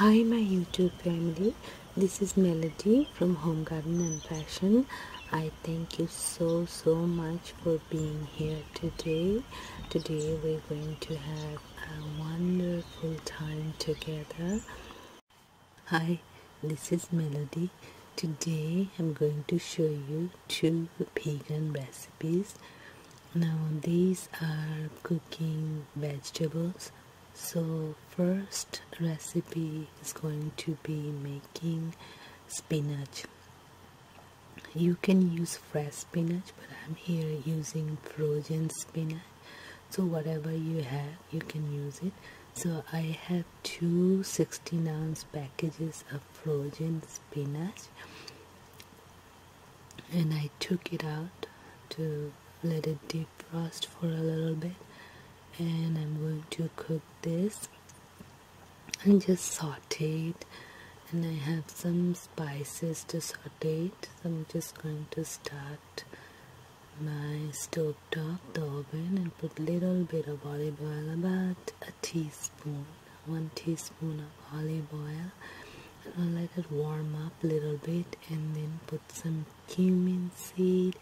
Hi my YouTube family, this is Melody from Home Garden and Fashion. I thank you so so much for being here today. Today we're going to have a wonderful time together. Hi, this is Melody. Today I'm going to show you two vegan recipes now these are cooking vegetables so first recipe is going to be making spinach you can use fresh spinach but I'm here using frozen spinach so whatever you have you can use it so I have two 16 ounce packages of frozen spinach and I took it out to let it deep for a little bit and I'm going to cook this and just saute it and I have some spices to saute it so I'm just going to start my stove top the oven and put little bit of olive oil about a teaspoon 1 teaspoon of olive oil and let it warm up a little bit and then put some cumin seed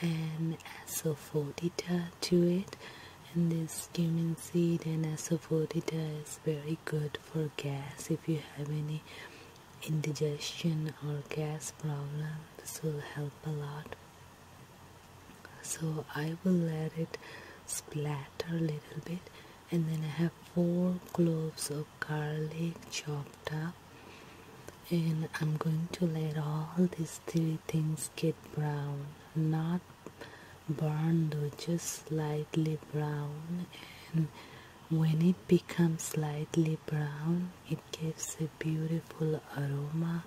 and asafoetida to it and this cumin seed and asafoetida is very good for gas if you have any indigestion or gas problem this will help a lot so i will let it splatter a little bit and then I have four cloves of garlic chopped up and I'm going to let all these three things get brown not burned though just slightly brown and when it becomes slightly brown it gives a beautiful aroma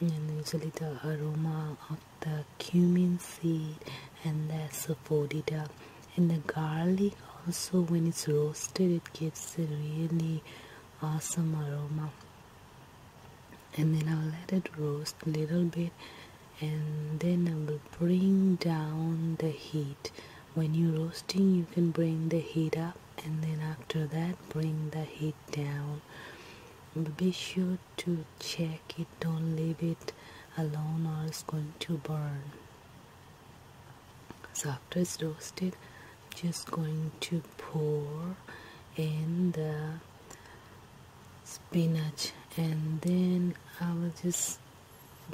and usually the aroma the cumin seed and the asafoetida and the garlic also when it's roasted it gives a really awesome aroma and then I'll let it roast a little bit and then I will bring down the heat when you're roasting you can bring the heat up and then after that bring the heat down be sure to check don't leave it alone or it's going to burn. after it's roasted, just going to pour in the spinach and then I will just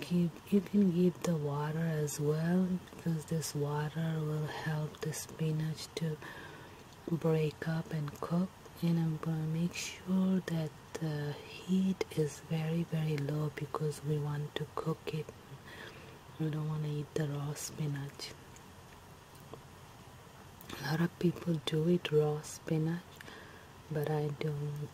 give you can give the water as well because this water will help the spinach to break up and cook and I'm gonna make sure that the heat is very very low because we want to cook it we don't want to eat the raw spinach a lot of people do eat raw spinach but I don't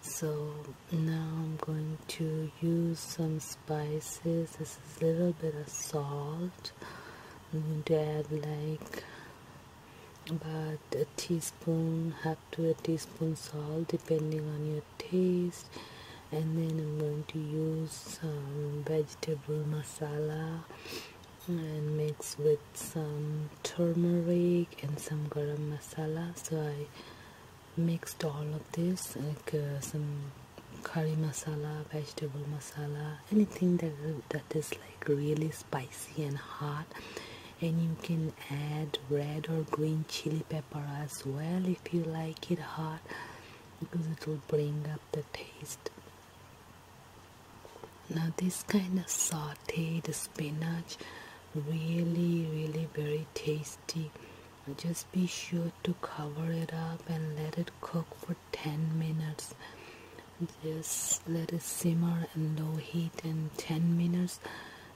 so now I'm going to use some spices this is a little bit of salt I'm going to add like about a teaspoon half to a teaspoon salt depending on your taste and then I'm going to use some vegetable masala and mix with some turmeric and some garam masala so I mixed all of this like uh, some curry masala, vegetable masala, anything that that is like really spicy and hot. And you can add red or green chili pepper as well if you like it hot, because it will bring up the taste. Now this kind of sautéed spinach, really, really very tasty. Just be sure to cover it up and let it cook for 10 minutes just let it simmer in low heat in 10 minutes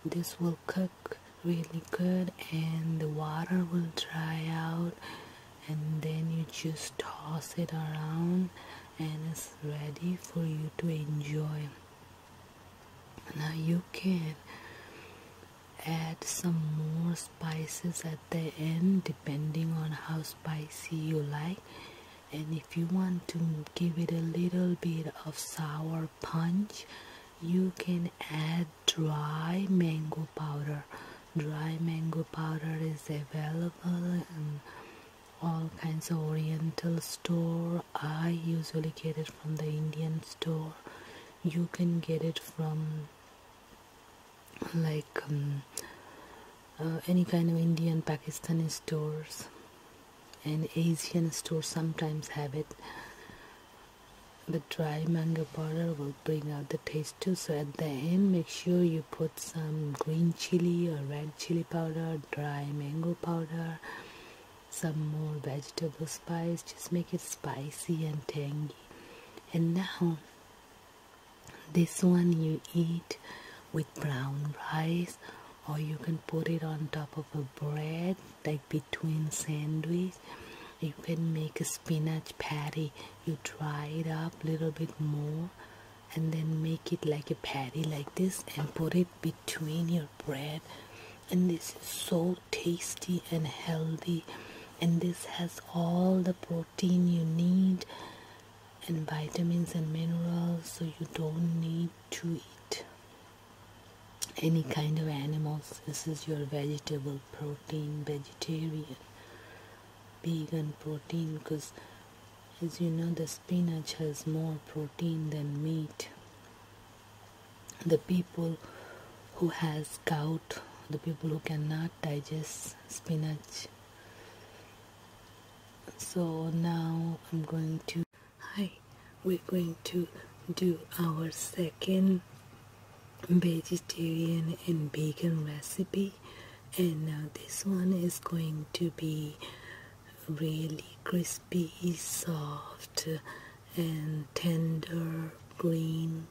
this will cook really good and the water will dry out and then you just toss it around and it's ready for you to enjoy now you can add some more spices at the end depending on how spicy you like and if you want to give it a little bit of sour punch you can add dry mango powder dry mango powder is available in all kinds of oriental store i usually get it from the indian store you can get it from like um, uh, any kind of Indian Pakistani stores and Asian stores sometimes have it the dry mango powder will bring out the taste too so at the end make sure you put some green chili or red chili powder dry mango powder some more vegetable spice just make it spicy and tangy and now this one you eat with brown rice or you can put it on top of a bread like between sandwich you can make a spinach patty you dry it up a little bit more and then make it like a patty like this and put it between your bread and this is so tasty and healthy and this has all the protein you need and vitamins and minerals so you don't need to eat any kind of animals this is your vegetable protein vegetarian vegan protein because as you know the spinach has more protein than meat the people who has gout the people who cannot digest spinach so now i'm going to hi we're going to do our second vegetarian and vegan recipe and now this one is going to be really crispy soft and tender green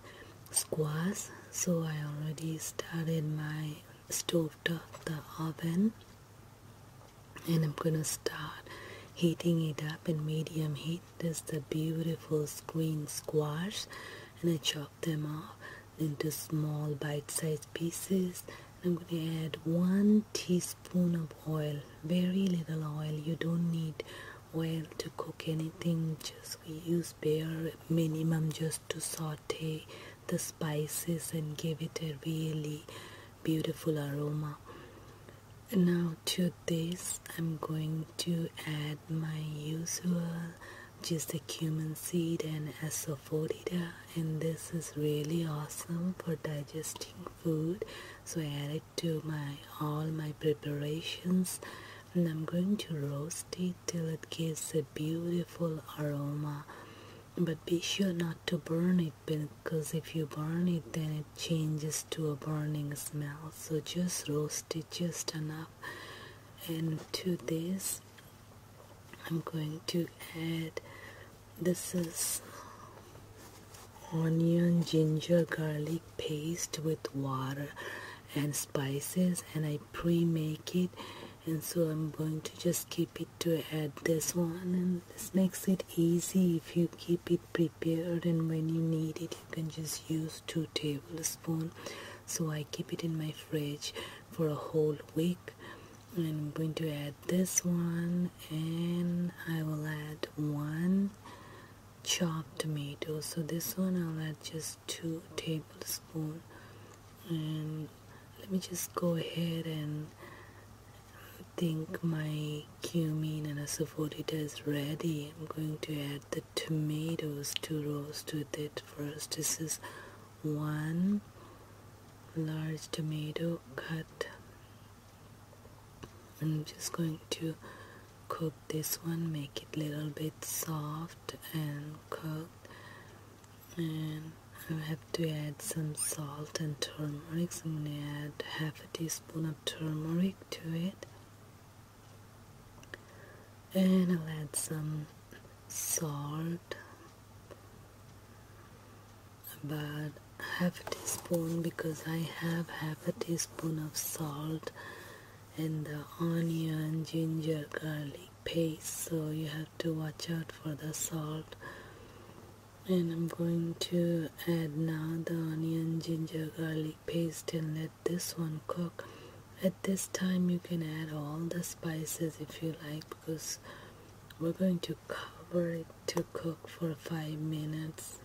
squash so I already started my stove top the oven and I'm gonna start heating it up in medium heat There's the beautiful green squash and I chop them off into small bite-sized pieces I'm going to add one teaspoon of oil very little oil you don't need oil to cook anything just we use bare minimum just to saute the spices and give it a really beautiful aroma now to this i'm going to add my usual just the cumin seed and asafoetida and this is really awesome for digesting food so i added to my all my preparations and I'm going to roast it till it gives a beautiful aroma but be sure not to burn it because if you burn it then it changes to a burning smell so just roast it just enough and to this I'm going to add this is onion, ginger, garlic paste with water and spices and I pre-make it and so I'm going to just keep it to add this one and this makes it easy if you keep it prepared and when you need it you can just use two tablespoons so I keep it in my fridge for a whole week I'm going to add this one and I will add one chopped tomato so this one I'll add just two tablespoons and let me just go ahead and think my cumin and asafoetida is ready I'm going to add the tomatoes to roast with it first this is one large tomato cut I'm just going to cook this one make it little bit soft and cooked and I have to add some salt and turmeric so I'm gonna add half a teaspoon of turmeric to it and I'll add some salt but half a teaspoon because I have half a teaspoon of salt in the onion, ginger, garlic paste so you have to watch out for the salt and I'm going to add now the onion, ginger, garlic paste and let this one cook at this time you can add all the spices if you like because we're going to cover it to cook for five minutes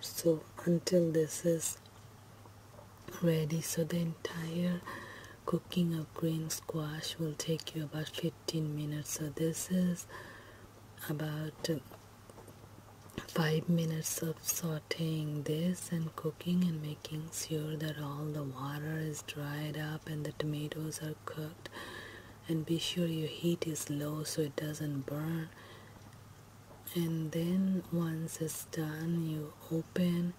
so until this is ready so the entire cooking of green squash will take you about 15 minutes so this is about five minutes of sauteing this and cooking and making sure that all the water is dried up up and the tomatoes are cooked and be sure your heat is low so it doesn't burn and then once it's done you open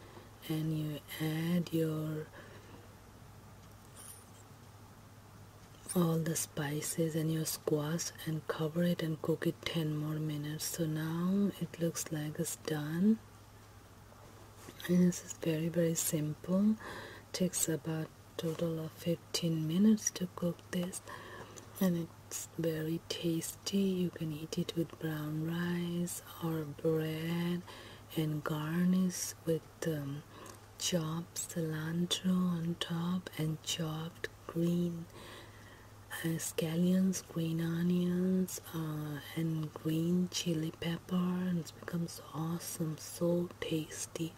and you add your all the spices and your squash and cover it and cook it 10 more minutes so now it looks like it's done and this is very very simple takes about total of 15 minutes to cook this and it's very tasty you can eat it with brown rice or bread and garnish with um, chopped cilantro on top and chopped green uh, scallions green onions uh, and green chili pepper Barns bar and becomes awesome so tasty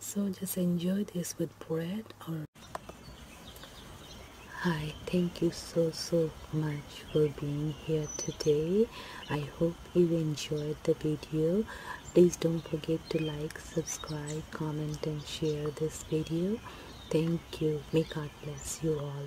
so just enjoy this with bread or hi thank you so so much for being here today i hope you enjoyed the video please don't forget to like subscribe comment and share this video thank you may god bless you all